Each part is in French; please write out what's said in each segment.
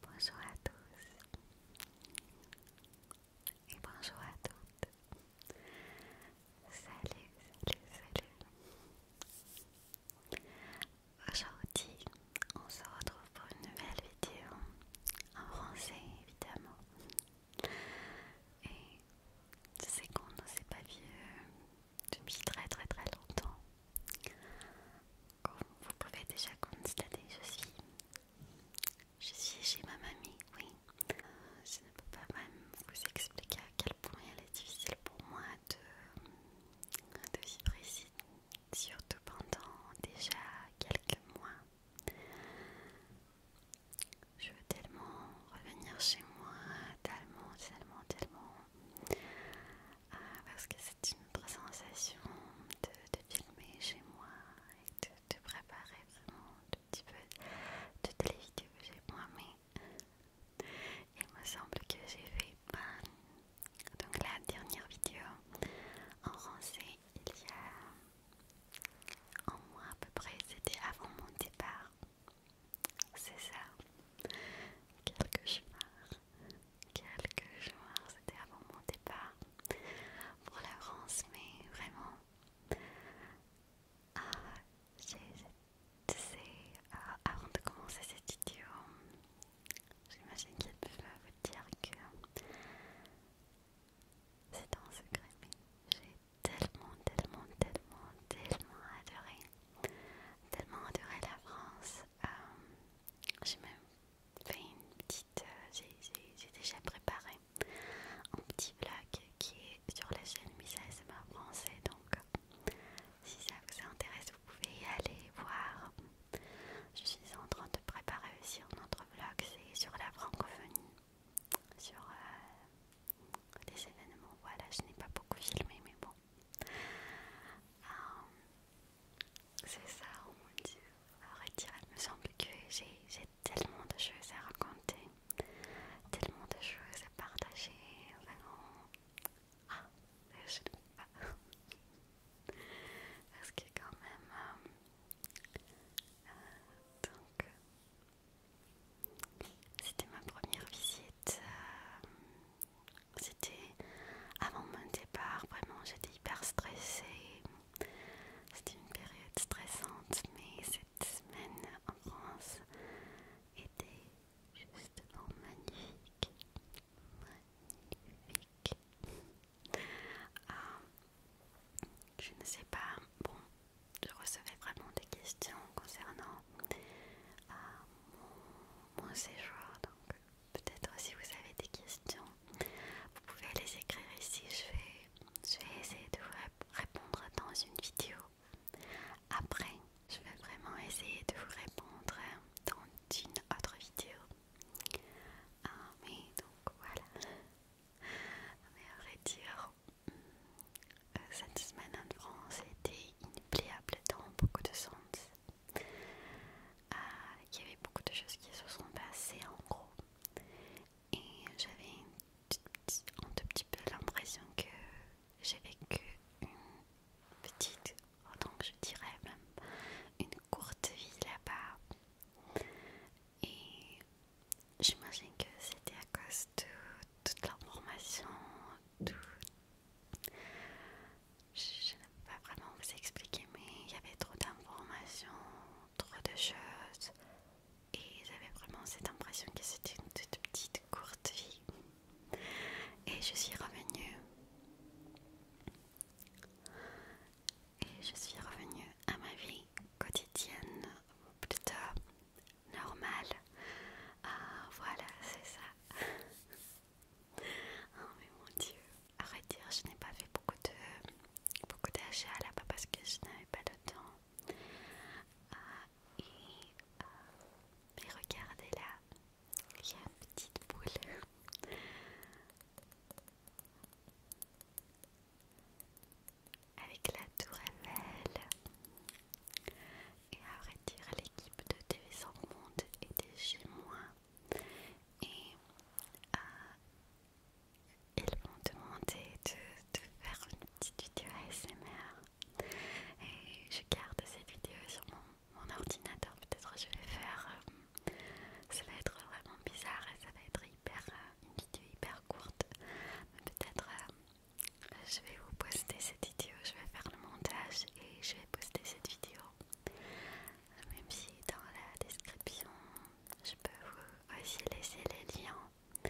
Bonjour à tous et bonjour à toutes. Salut, salut, salut. Aujourd'hui, on se retrouve pour une nouvelle vidéo en français évidemment. Et je sais qu'on ne s'est pas vu euh, depuis très très très longtemps. Comme vous pouvez déjà constater, je suis, je suis chez ma mamie, oui. je ne peux pas même vous expliquer à quel point elle est difficile pour moi de vivre ici, surtout pendant déjà quelques mois. Je veux tellement revenir chez moi, tellement, tellement, tellement. Ah, parce que c'est une autre sensation de, filmer chez moi et de, préparer vraiment un petit peu toutes les vidéos chez moi, mais il me semble que j'ai fait donc la dernière vidéo en français il y a un mois à peu près, c'était avant mon départ. C'est ça, quelques chemins quelques jours, c'était avant mon départ pour la France, mais vraiment, ah, j'ai, avant de commencer cette vidéo, j'imagine qu'il peut vous dire que c'est un secret, mais j'ai tellement, tellement, tellement, tellement adoré, tellement adoré la France. Euh, j'ai même une petite. Euh, j'ai déjà préparé un petit vlog qui est sur la chaîne Miss ASMR français. Donc, euh, si ça vous intéresse, vous pouvez y aller voir. Je suis en train de préparer aussi un autre vlog, c'est sur la francophonie, sur des euh, événements. Voilà, je n'ai pas beaucoup filmé, mais bon. C'est ça, oh mon dieu. il me semble que j'ai tellement de choses à raconter, tellement de choses à partager, Ah, je pas. Parce que quand même... Euh, donc... Euh, c'était ma première visite euh, c'était avant mon départ, vraiment j'étais hyper stressée. C'était une période stressante, mais cette semaine en France était justement magnifique. Ah, je ne sais pas, bon, je recevais vraiment des questions concernant ah, mon, mon séjour, donc peut-être si vous avez des questions, vous pouvez les écrire ici. Je vais, essayer de vous répondre dans une vidéo. Après, je vais vraiment essayer de vous répondre dans une autre vidéo. Ah donc voilà. Mais à vrai dire, hmm, euh, cette semaine en France était inoubliable dans beaucoup de sens qu'il euh, y avait beaucoup de choses qui se sont passées en gros. Et j'avais un tout petit peu l'impression que j'ai vécu une petite, donc je dirais même une courte vie là-bas. Et j'imagine que c'était à cause de toute l'information, tout, je ne peux pas vraiment vous expliquer, mais il y avait trop d'informations, trop de choses, et j'avais vraiment cette impression que c'était une toute petite courte vie. Et je suis revenue. Et je suis revenue à ma vie quotidienne, plutôt normale. Ah, voilà, c'est ça. Oh mais mon dieu. À vrai dire, je n'ai pas fait beaucoup de beaucoup d'achats là-bas parce que je n'avais pas le temps. Ah, et, ah, regardez là, il y a une petite boule. Avec la tour Et à vrai dire, l'équipe de tv Sans Monde était chez moi et euh, ils m'ont demandé de, faire une petite vidéo ASMR et je garde cette vidéo sur mon, ordinateur peut-être je vais faire euh, ça va être vraiment bizarre et ça va être hyper euh, une vidéo hyper courte peut-être je vais vous poster cette vidéo je vais faire le montage et je vais poster cette vidéo même si dans la description, je peux vous aussi laisser les liens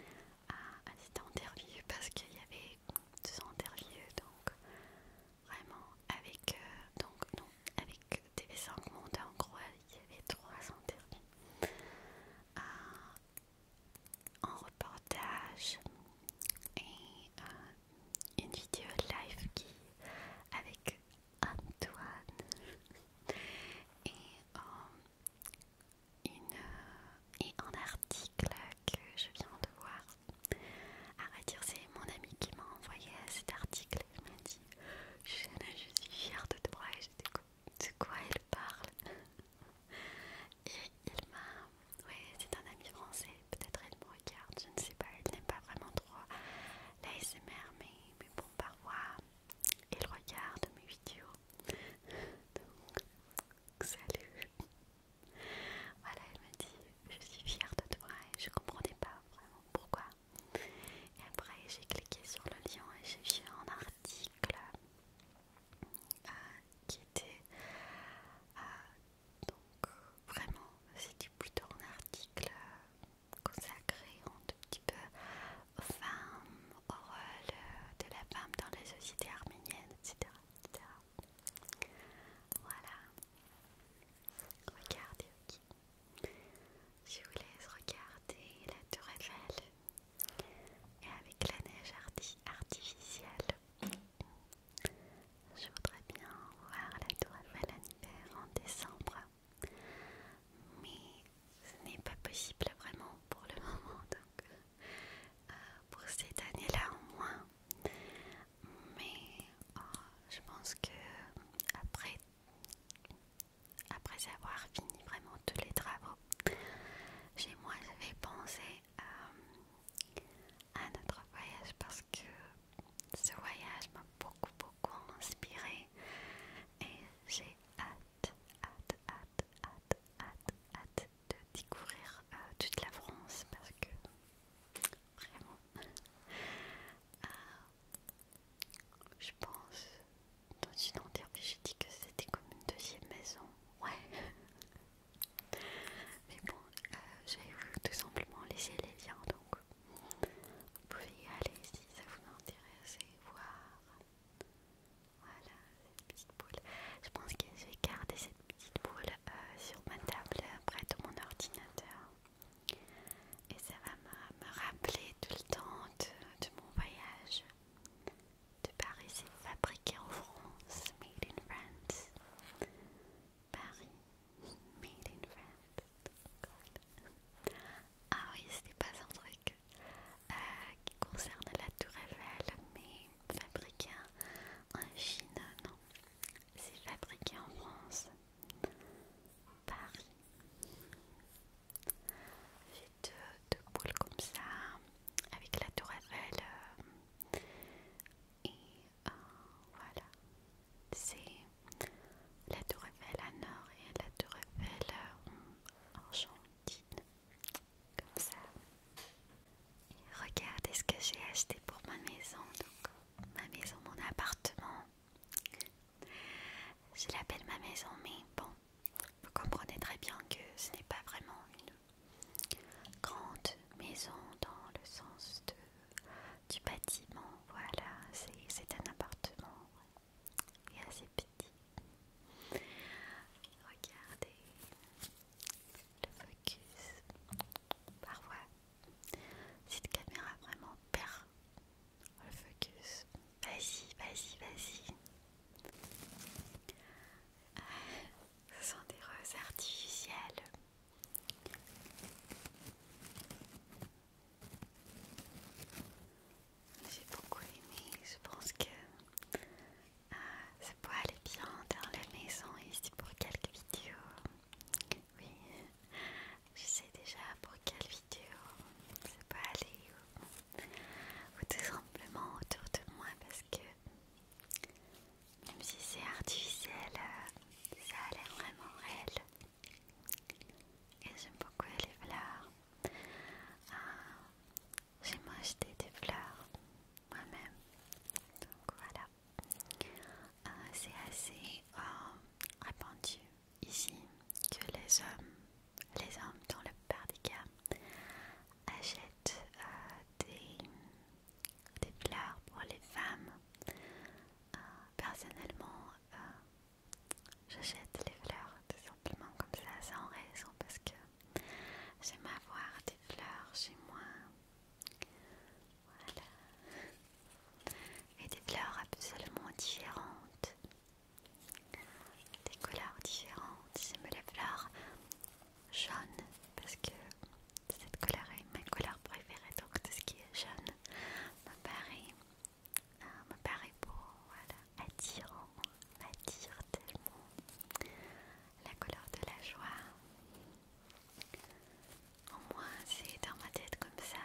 à, cette interview parce qu'il y avait deux interviews donc vraiment avec euh, donc non avec TV5 Monde en gros il y avait trois interviews en euh, reportage et euh, une vidéo live qui avec Antoine et, euh, et un article que je viens de voir. À vrai dire, c'est mon ami qui m'a envoyé cet article. Il m'a dit je suis fière de toi et découvre de quoi il parle. Et il m'a. oui c'est un ami français, peut-être elle me regarde, je ne sais pas, elle n'est pas vraiment droit l'ASMR, mais, mais bon, parfois, il regarde mes vidéos. Donc, salut. Voilà, elle me dit, je suis fière de toi et je comprenais pas vraiment pourquoi. Et après, j'ai cliqué sur le lien et j'ai vu un article euh, qui était euh, donc vraiment, c'était plutôt un article consacrée un tout petit peu aux femmes, au rôle euh, de la femme dans les sociétés arméniennes, etc. Voilà. Regardez, ok. Je vous laisse regarder la tour Eiffel et avec la neige artificielle. Je voudrais bien voir la tour Eiffel en hiver, en décembre mais ce n'est pas possible vraiment pour le moment, donc euh, pour cette année-là au moins. Mais oh, je pense que après, après avoir fini vraiment tous les travaux chez moi, je vais penser à, euh, à notre voyage parce que ce voyage m'a beaucoup beaucoup inspiré et j'ai hâte, hâte, hâte, hâte, hâte, hâte de découvrir euh, toute la France parce que vraiment euh, je pense dans une j'ai dit que c'était comme une deuxième maison ouais mais bon euh, j'ai voulu tout simplement laisser les liens donc vous pouvez y aller si ça vous intéresse voir. Voilà, cette petite boule. Je pense que je vais garder cette petite boule euh, sur ma table près de mon ordinateur. Et ça va me, rappeler tout le temps de, de mon voyage de Paris. C'est fabriqué en France, made in France. Paris, Made in France. Ah oui, c'était pas un truc euh, qui concerne la tour Eiffel, mais fabriqué en Chine, non. C'est fabriqué en France, Paris. J'ai deux, boules comme ça, avec la tour Eiffel. Euh, et euh, voilà, c'est la tour Eiffel à Nord et la tour Eiffel euh, en Argentine, comme ça. regardez ce que j'ai acheté pour ma maison, donc ma maison, mon appartement. Je l'appelle ma maison, mais bon, vous comprenez très bien que ce n'est pas vraiment une grande maison dans le sens de du bâtiment. Voilà, c'est un appartement et assez petit. Regardez le focus. Parfois, cette caméra vraiment perd le focus. Vas-y, vas-y, vas-y. Ce sont des roses artificielles. J'ai beaucoup aimé, je pense que euh, ça peut aller bien dans la maison ici pour quelques vidéos. Oui, je sais déjà pour quelle vidéo ça peut aller ou tout simplement autour de moi parce que même si c'est artificiel, euh, ça a l'air vraiment réel. Et j'aime beaucoup les fleurs. J'ai ah, J'aime acheter des fleurs moi-même. Donc voilà. Ah, c'est assez euh, répandu ici que les hommes, les hommes dans le par euh, des cas, achètent des, fleurs pour les femmes. Ah, personnellement, euh, j'achète les fleurs tout simplement comme ça, sans raison, parce que j'aime avoir des fleurs chez moi. Voilà. Et des fleurs absolument différentes, des couleurs différentes. J'aime les fleurs jaunes parce que cette couleur est ma couleur préférée, donc tout ce qui est jaune me paraît ah me paraît beau, voilà, attirant, m'attire tellement la couleur de la joie. Au moins, c'est dans ma tête comme ça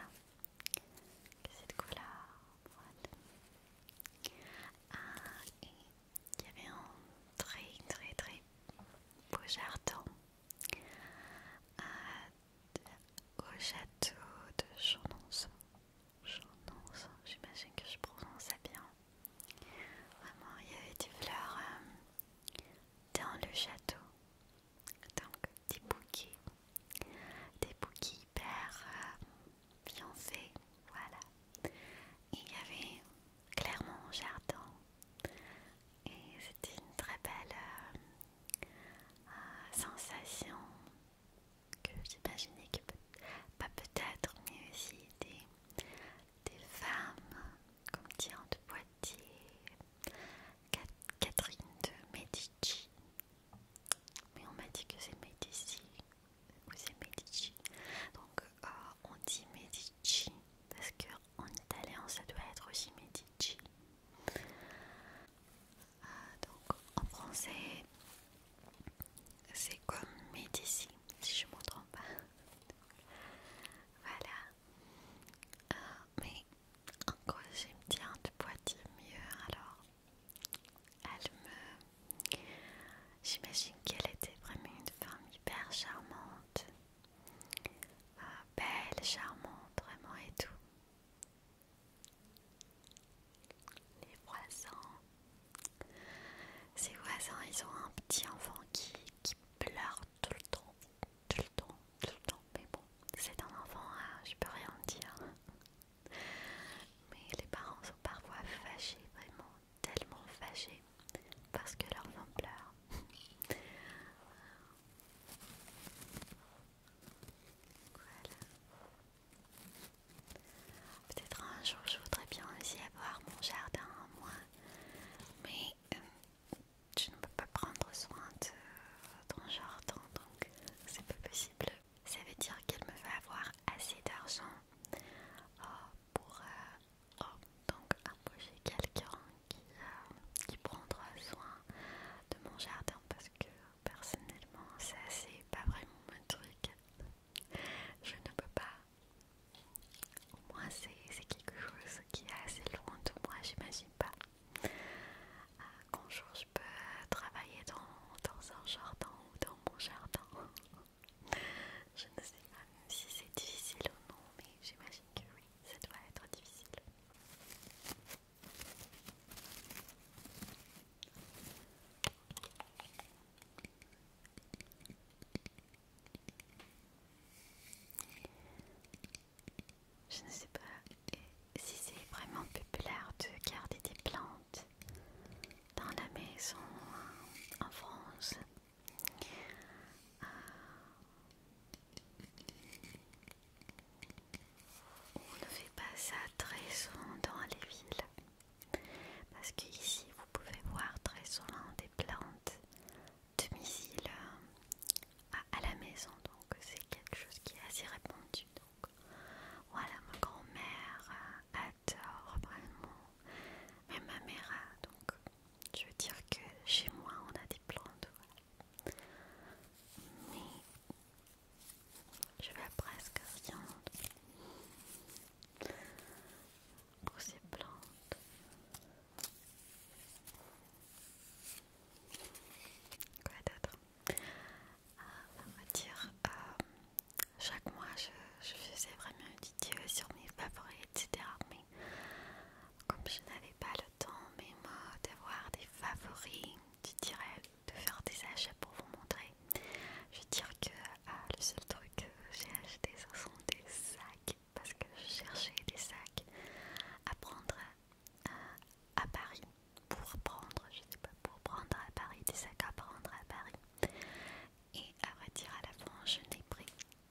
cette couleur. Voilà. Ah, et il y avait un très très très beau jardin. Ah, au château de Chornonson. Chornonson, j'imagine que je prononce bien. Vraiment, il y avait des fleurs euh, dans le château. Donc, des bouquets. Des bouquets hyper euh, fiancés. Voilà. il y avait clairement un jardin. Et c'était une très belle euh, ah, sensation que j'imaginais que pas peut-être, mais aussi des, des femmes comme Diane de Poitiers, Catherine de Medici. Mais on m'a dit que c'est Medici ou c'est Medici. Donc euh, on dit Medici parce qu'en italien ça doit être aussi Medici. Euh, donc en français, c'est comme Médicine si je ne me trompe pas. voilà. Euh, mais mais encore, j'aime bien de Poitiers mieux alors. Elle me. J'imagine qu'elle était vraiment une femme hyper charmante, euh, belle, charmante, vraiment et tout. Les voisins. Ces voisins, ils ont un petit enfant qui, pleure tout le temps. Tout le temps, tout le temps. Mais bon, c'est un enfant, hein, je peux rien dire. Mais les parents sont parfois fâchés, vraiment, tellement fâchés, parce que leur enfant pleure. Peut-être un jour je voudrais bien aussi avoir mon jardin en moi, mais je euh, ne peux pas prendre soin de euh, ton jardin, donc c'est pas possible. Ça veut dire qu'elle me fait avoir assez d'argent euh, pour oh, donc embaucher quelqu'un qui, prendra soin de mon jardin que personnellement, ça c'est pas vraiment mon truc. Je ne peux pas. Au moins, c'est quelque chose qui est assez loin de moi, j'imagine pas. Euh, qu'un jour je peux travailler dans, un jardin ou dans mon jardin. Je ne sais pas si c'est difficile ou non, mais j'imagine que oui, ça doit être difficile. Je ne sais pas si c'est vraiment populaire de garder des plantes dans la maison en France. Euh, on ne fait pas ça très souvent dans les villes parce qu'ici vous pouvez voir très souvent des plantes de euh, à, à la maison donc c'est quelque chose qui est assez répandu voilà ma grand-mère euh, adore vraiment ma mère euh, donc je veux dire que chez moi on a des plantes mais je vais presque rien pour ces plantes quoi d'autre ah, on va dire euh, chaque mois je, faisais vraiment une vidéo sur mes favoris etc mais comme je n'avais pas le temps mais moi d'avoir des favoris tu dirais de faire des achats pour vous montrer. Je veux dire que ah, le seul truc que j'ai acheté, ce sont des sacs parce que je cherchais des sacs à prendre euh, à, Paris pour prendre, je sais pas, pour prendre à Paris des sacs à prendre à Paris. Et à vrai dire, à la fin, je n'ai pris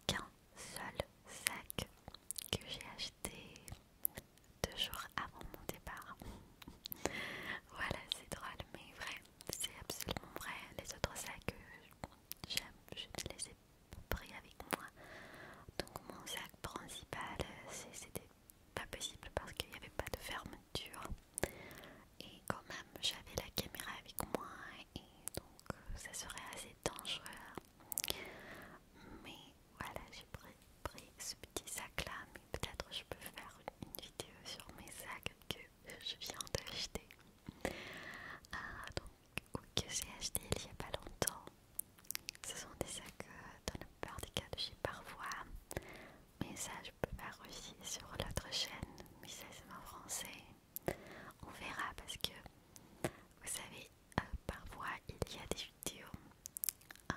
qu'un seul sac que j'ai acheté deux jours avant mon départ. voilà, c'est drôle, mais vrai, c'est absolument vrai. Les autres sacs, euh, j'aime, je les ai pris avec moi. Donc, mon sac principal, euh, c'était pas possible parce qu'il n'y avait pas de fermeture. Et quand même, j'avais la caméra avec moi et donc euh, ça serait assez dangereux. Mais voilà, j'ai pris, pris ce petit sac là, mais peut-être je peux faire une, vidéo sur mes sacs que je viens d'acheter. Ah, donc, que j'ai acheté il n'y a pas longtemps. Ce sont des sacs euh, dans la plupart des cas de chez parfois, mais ça je peux faire aussi sur l'autre chaîne, mais ça c'est en français. On verra parce que vous savez, euh, parfois il y a des vidéos euh,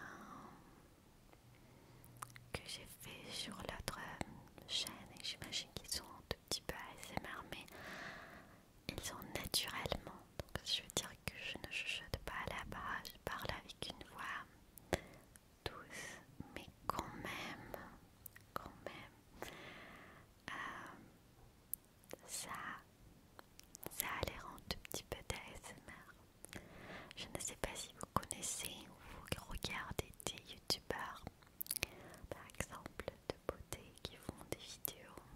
que j'ai fait sur l'autre euh, chaîne et j'imagine qu'ils sont un tout petit peu ASMR mais ils sont naturellement donc je veux dire que je ne chuchote pas là-bas, je parle avec une voix douce mais quand même quand même ça ça a l'air un tout petit peu d'ASMR. Je ne sais pas si vous connaissez ou vous regardez des youtubeurs, par exemple de beauté, qui font des vidéos.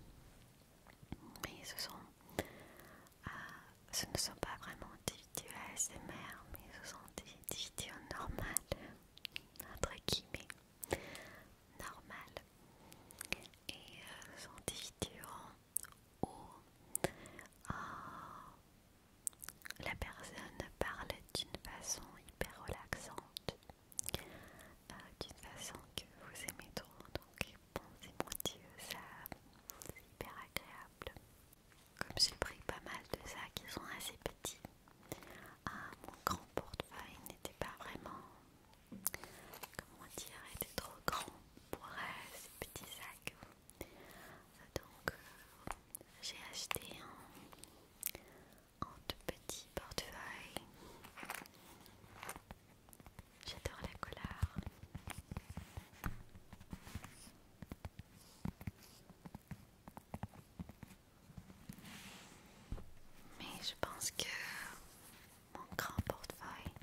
Mais ce, sont, euh, ce ne sont pas vraiment des vidéos ASMR, mais ce sont des, vidéos normales, entre guillemets, normales. Et euh, ce sont des vidéos Oh... la personne parle d'une façon hyper relaxante, euh, d'une façon que vous aimez trop. Donc, bon, c'est mon dieu, ça c'est hyper agréable. Comme j'ai pris pas mal de sacs qui sont assez petits, euh, mon grand portefeuille n'était pas vraiment comment dire, était trop grand pour euh, ces petits sacs. Donc euh, j'ai acheté un, un tout petit portefeuille. J'adore la couleur. Mais je pense que mon grand portefeuille.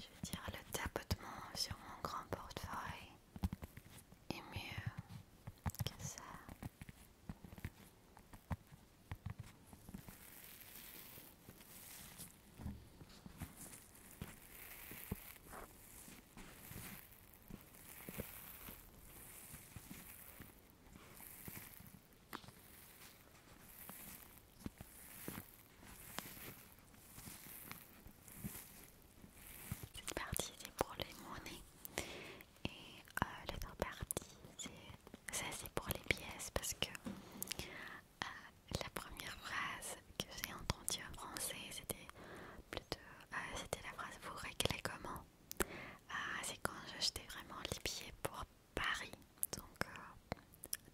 Je veux dire, le tapotement sur mon grand portefeuille est mieux que ça. Cette partie c'est pour les monnaies et euh, l'autre partie c'est ça c'est pour les pièces parce que euh, la première phrase que j'ai entendue en français c'était plutôt euh, c'était la phrase vous réglez comment ah, c'est quand j'achetais vraiment les billets pour Paris, donc euh,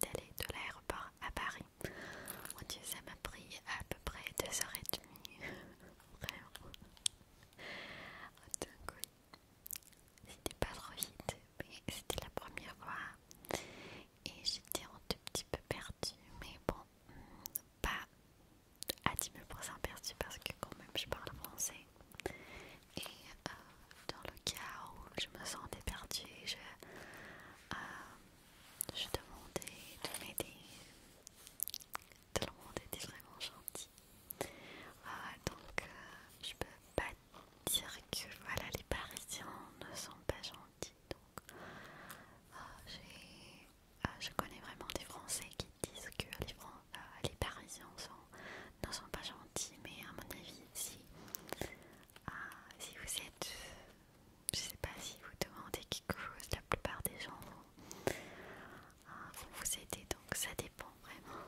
d'aller de l'aéroport à Paris. Mon Dieu, ça m'a pris à peu près heures et demie. Vraiment. Donc oui, c'était pas trop vite, mais c'était la première fois. Et j'étais un tout petit peu perdue, mais bon, pas à 10 000% perdue parce que quand même je parle français. Et euh, dans le cas où je me sentais perdue, euh, je, demandais de m'aider. Tout le monde était vraiment gentil. Euh, donc, je peux pas dire que voilà, les Parisiens ne sont pas gentils. Donc, je connais vraiment des Français qui disent que les, Parisiens ne sont pas gentils, mais à mon avis, si ah, si vous êtes, je sais pas si vous demandez quelque chose, la plupart des gens vont, ah, vous aider, donc ça dépend vraiment.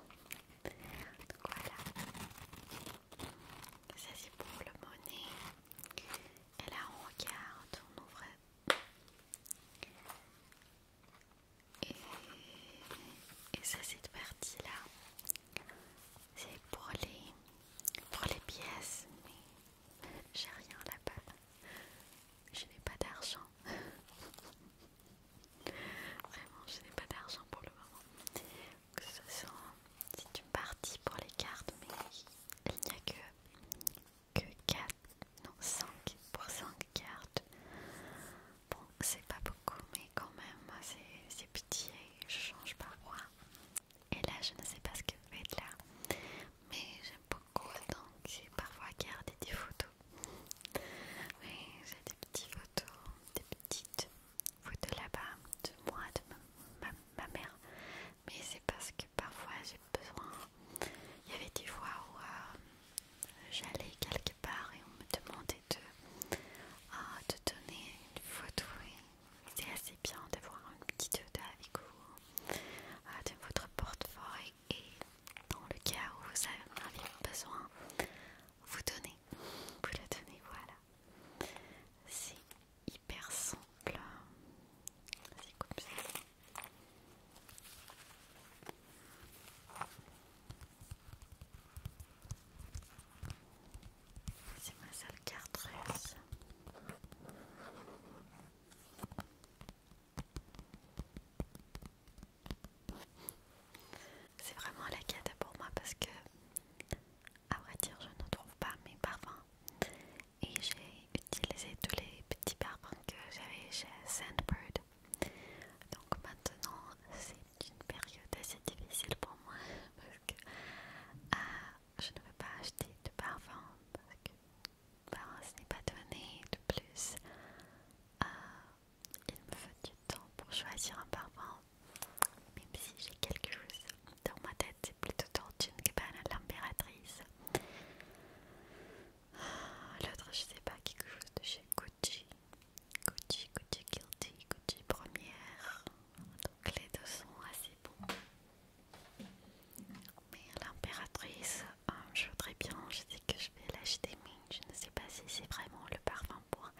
Donc voilà, ça c'est pour le monnaie. Et là on regarde, on ouvre. Et, et ça c'est parti là, c'est pour les pour les pièces, mais j'ai rien là-bas. Je n'ai pas d'argent. Vraiment, je n'ai pas d'argent pour le moment. c'est une partie pour les cartes, mais il n'y a que que 4 non 5 pour 5 cartes. Bon, c'est pas beaucoup, mais quand même, c'est petit, pitié, je change parfois. Et là, je ne sais pas ce que je là. Mais j'aime beaucoup, donc j'ai parfois gardé des photos. Oui, j'ai des petites photos, des petites photos là-bas de moi, de ma, mère. Mais c'est parce que parfois j'ai besoin. Il y avait des fois où euh, j'allais quelque part et on me demandait de de ah, donner une photo. C'est assez bien d'avoir une petite photo avec vous de votre portefeuille et dans le cas où vous avez besoin, vous donnez, vous la donnez, voilà. C'est hyper simple. C'est comme ça. C'est ma seule carte C'est vraiment la quête pour moi parce que, à vrai dire, je ne trouve pas mes parfums. Et j'ai utilisé tous les petits parfums que j'avais chez Sandbird. Donc maintenant, c'est une période assez difficile pour moi parce que euh, je ne veux pas acheter de parfum parce que ben, ce n'est pas donné de plus. Euh, il me faut du temps pour choisir un parfum, même si j'ai quelque chose dans ma tête, c'est plutôt Tortune que à l'impératrice. Euh, l'autre, je sais pas, quelque chose de chez Gucci. Gucci, Gucci Guilty, Gucci Première. Donc les deux sont assez bons. Mais l'impératrice, euh, je voudrais bien, je sais que je vais l'acheter, mais je ne sais pas si c'est vraiment le parfum pour,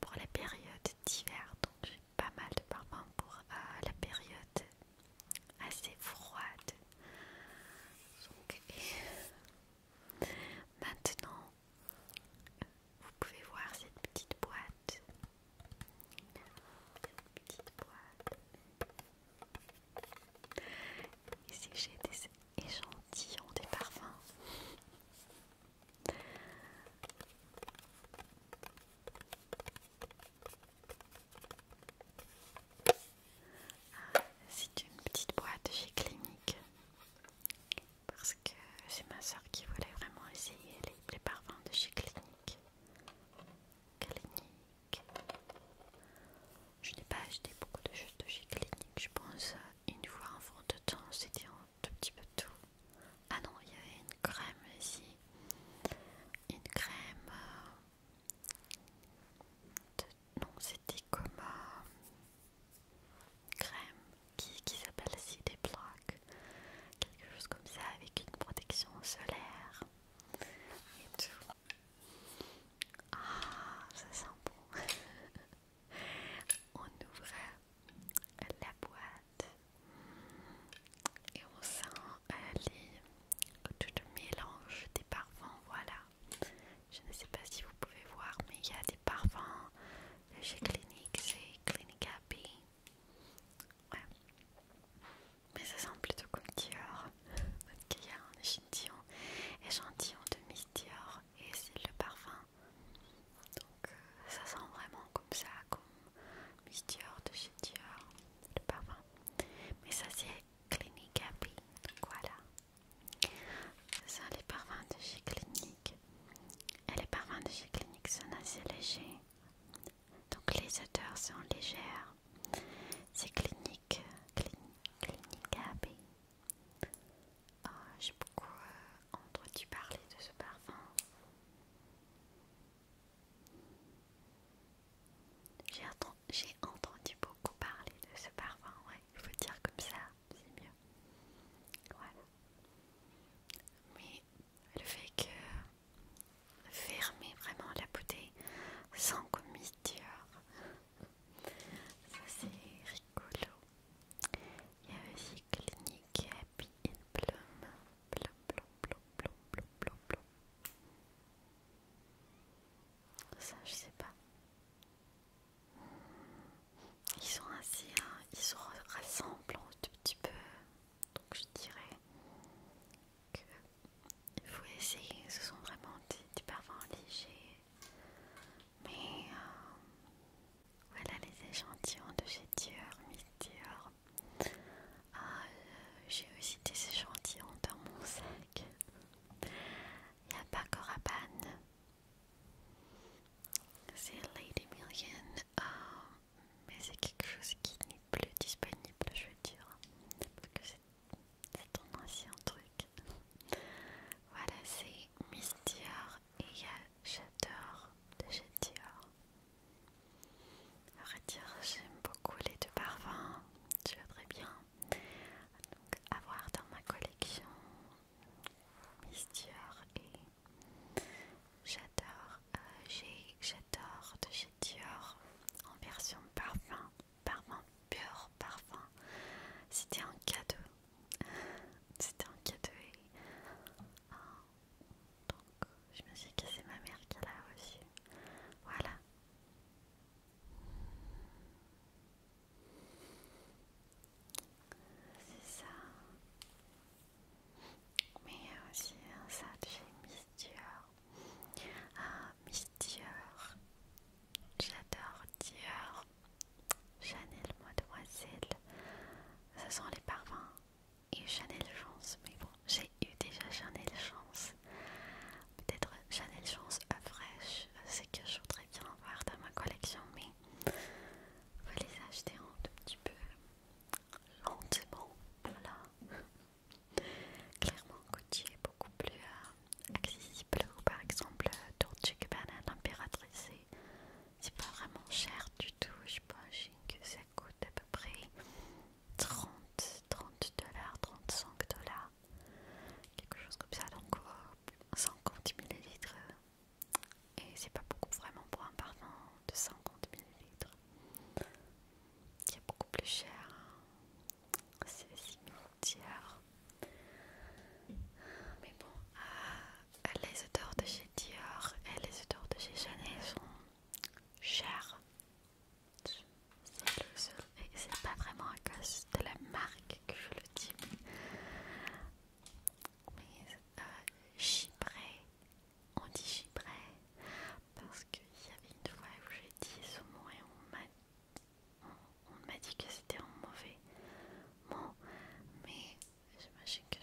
pour la période d'hiver. Donc j'ai pas mal de parfums pour euh, la période assez froide. Donc, maintenant, vous pouvez voir cette petite boîte. Cette petite boîte. Ici j'ai des échantillons des parfums. Ah, c'est une petite boîte chez Clinique parce que c'est ma soeur qui voulait vraiment essayer les, parfums de chez Clinique. Clinique. Je n'ai pas acheté beaucoup de choses de chez Clinique, je pense une fois en fond de temps, c'était un tout petit peu tout. Ah non, il y avait une crème ici, une crème. Euh, non, c'était comme. Euh, crème qui, qui s'appelle des plaques quelque chose comme ça avec une protection solaire et tout. Ah, ça sent bon! on ouvre la boîte et on sent euh, les, tout le mélange des parfums. Voilà, je ne sais pas si vous pouvez voir, mais il y a des parfums de chez Clinique, c'est Clinique Happy. Ouais. Mais ça sent plutôt comme Dior. Parce qu'il y a un échantillon, échantillon de Miss Dior et c'est le parfum. Donc euh, ça sent vraiment comme ça, comme Miss Dior de chez Dior, le parfum. Mais ça c'est Clinique Happy. Donc voilà. Ça les parfums de chez Clinique. Et Elle est de chez Clinique sont assez légers. Donc les odeurs sont légères. C'est clinique, clinique, clinique AB. Ah, j'ai beaucoup euh, entendu parler de ce parfum. J'ai entendu, entendu beaucoup parler de ce parfum, ouais. Il faut dire comme ça, c'est mieux. Voilà. Mais le fait que fermer vraiment la bouteille sans commiture, ça c'est rigolo. Il y a aussi Clinique Happy in plume blum, Ça, je sais pas ils sont ainsi, hein, ils se rassemblent un tout petit peu. Donc je dirais qu'il faut essayer. Ce sont vraiment des, parfums légers. Mais euh, voilà les échantillons de chez Dior, Miss ah, euh, J'ai aussi des échantillons dans mon sac. Il n'y a pas Rabanne, c'est Lady Million, euh, mais c'est quelque chose qui n'est plus disponible, je veux dire, parce que c'est un ancien truc. voilà, c'est Miss Dior et y J'adore de chez Dior. dire, j'aime beaucoup les deux parfums, tu vois très bien. Donc, avoir dans ma collection Dior et j'adore euh, j'ai, j'adore de chez Dior en version parfum parfum pur parfum c'était un cadeau c'était un cadeau et euh, donc je me suis que c'est ma mère qui l'a reçu voilà c'est ça mais aussi un sac chez Miss Dior. Ah, Miss Dior, j'adore Dior, Chanel Mademoiselle, ce sont les parfums et Chanel Chance, mais bon, j'ai eu déjà Chanel Chance. Peut-être Chanel Chance fraîche, c'est que je voudrais bien voir dans ma collection, mais vous les acheter en tout petit peu lentement, voilà. Clairement, coutier est beaucoup plus euh, accessible. par exemple, Dolce euh, banane impératrice c'est pas vraiment cher du tout. Je pense que ça coûte à peu près 30, 30 dollars, 35 dollars, quelque chose comme ça. Donc, 50 euh, millilitres et c'est pas beaucoup vraiment pour un parfum de 50 ml qui est beaucoup plus cher. C'est Dior Mais bon, euh, les odeurs de chez Dior et les odeurs de chez Chanel sont chères. Et c'est pas vraiment à cause de la marque que je le dis mais euh, on dit Chypray parce qu'il y avait une fois où j'ai dit ce mot et on m'a dit que c'était un mauvais mot, mais j'imagine que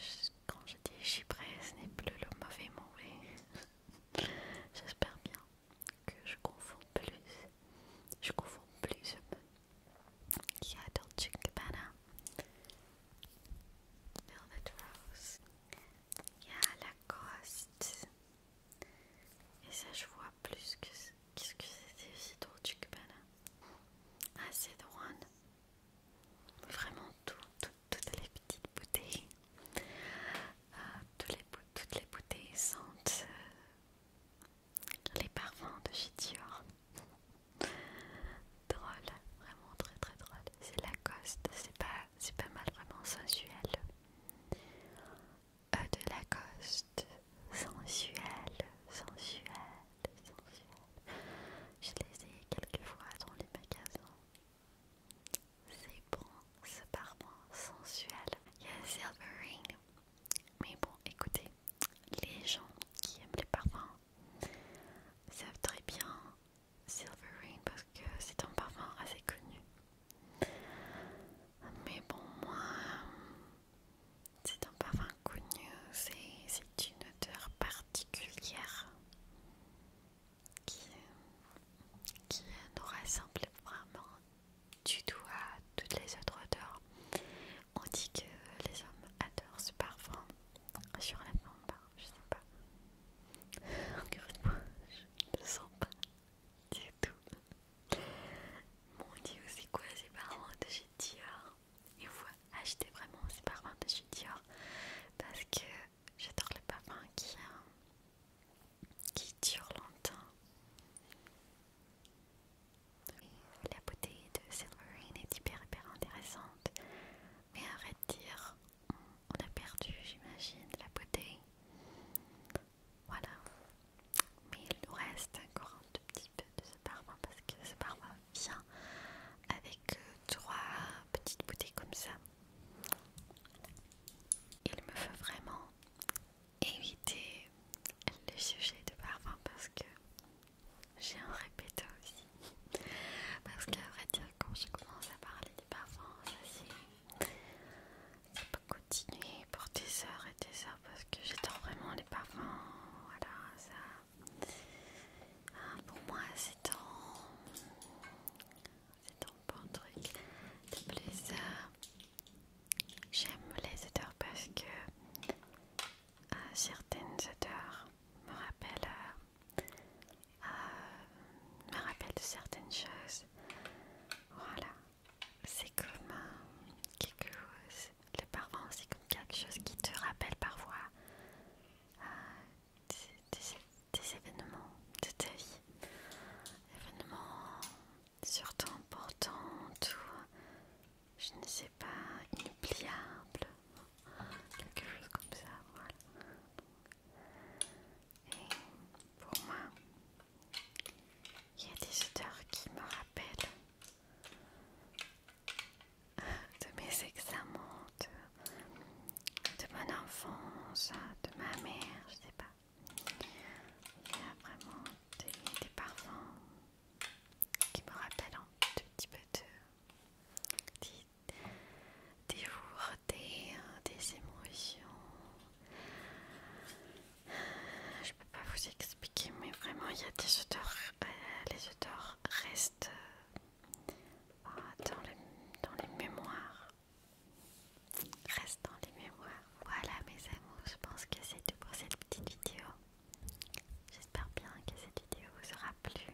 quand je dis Chypray, ce n'est plus le mauvais mot j'espère bien que je confonds plus, je confonds plus qui adore Rose. Il y a la coste, Et ça, je vois plus que. Qu'est-ce que c'était aussi du que Ah, c'est One, Vraiment toutes les petites bouteilles. Ah, toutes, les, bouteilles sentent euh, les parfums de chez Dior drôle, vraiment très très drôle. C'est Lacoste, c'est pas, c'est pas mal, vraiment sensuel. Euh, de Lacoste, sensuel, sensuel, sensuel. Je les ai fois dans les magasins. C'est bon, ce parfum sensuel. Il y a Silver Ring. Mais bon, écoutez, les gens qui aiment les parfums ils très bien Silver Rain parce que c'est un parfum assez connu. Mais bon, moi, c'est un parfum connu, c'est une odeur particulière qui, qui nous rassemble vraiment du tout à toutes les autres odeurs. On dit que les hommes adorent ce parfum sur la en pas, je sais pas. Encore une fois, je ne sens pas du tout. Mon dieu, c'est quoi ces parents de chez Dior Il faut acheter vraiment ces parents de chez Dior parce que j'adore le parfum qui, euh, qui dure longtemps. La beauté de Silverine est hyper hyper intéressante. Mais arrête de dire, on a perdu, j'imagine, la beauté, Voilà. Mais il nous reste encore un tout petit peu de ce parfum parce que ce parfum vient avec euh, trois petites bouteilles comme ça. Il me faut vraiment éviter le sujet de parfum parce que j'ai un répéto aussi. Parce qu'à vrai dire, quand je commence à parler des parfums, ça c'est continuer pour des heures et des heures parce que j'adore vraiment les parfums. Voilà, ça. pour moi, c'est un. C'est un bon truc. De plus, j'aime les odeurs parce que. Euh, certaines odeurs me rappellent euh, euh, me rappelle de certaines choses. Voilà, c'est comme euh, quelque chose, les parents, c'est comme quelque chose qui te rappelle parfois euh, des, événements de ta vie, événements surtout importants, ou je ne sais pas, inoubliable, quelque chose comme ça, voilà. Et pour moi, il y a des odeurs qui me rappellent de mes examens, de, mon enfance, de ma mère, je sais pas. Il y a vraiment des, parents qui me rappellent un tout petit peu de, des lourdés, des émotions. Je peux pas vous expliquer, mais vraiment, il y a des odeurs. Euh, les odeurs restent euh, dans, les mémoires. restent dans les mémoires. Voilà mes amours, je pense que c'est tout pour cette petite vidéo. J'espère bien que cette vidéo vous aura plu.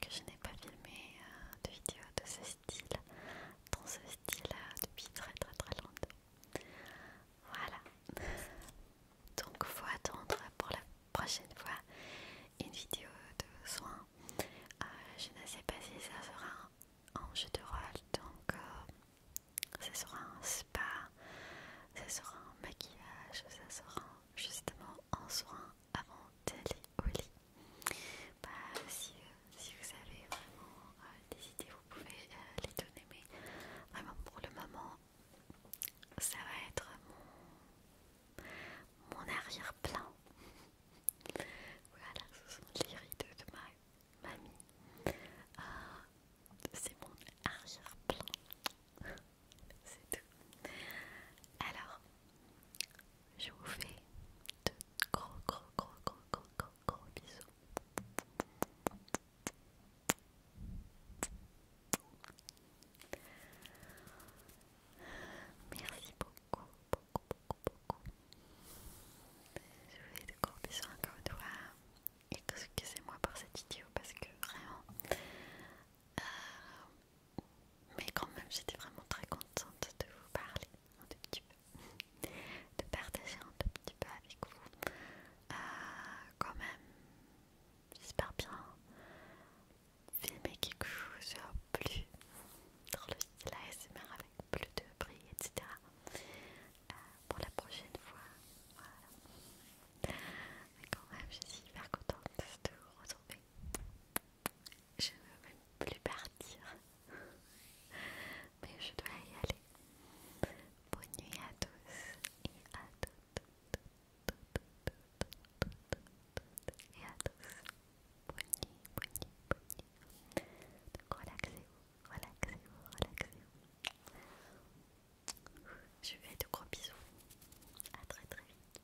que je n'ai pas filmé euh, de vidéo de ce style, dans ce style euh, depuis très très très longtemps. Voilà. Donc faut attendre pour la prochaine fois une vidéo de soins. Euh, je ne sais pas si ça sera un, jeu de rôle, donc ce ça sera un spa, ça sera un maquillage, ça sera justement un soin avant d'aller au lit. Bah, si, euh, vous avez vraiment euh, des idées, vous pouvez euh, les donner, mais vraiment pour le moment, ça va être mon, arrière-plan. voilà, ce sont les rideaux de ma mamie. C'est mon arrière-plan. c'est tout. Alors, je vous fais de gros, gros, gros, gros, gros, gros, gros bisous. Merci beaucoup, beaucoup, beaucoup, beaucoup. Je vous fais de gros bisous encore une fois. Excusez-moi pour cette vidéo parce que vraiment, euh, mais quand même j'étais vraiment très contente de vous parler un tout petit peu, de partager un tout petit peu avec vous. Euh, quand même, j'espère bien filmer quelque chose plus dans le style ASMR avec plus de prix, etc. Euh, pour la prochaine fois, voilà. Mais quand même, je suis hyper contente de vous retrouver je ne veux même plus partir. Mais je dois y aller. Bonne nuit à tous et à toutes. Et à tous. Bonne nuit, bonne nuit, bonne Donc relaxez-vous, relaxez-vous, relaxez-vous. Je vous fais de gros bisous. A très très vite.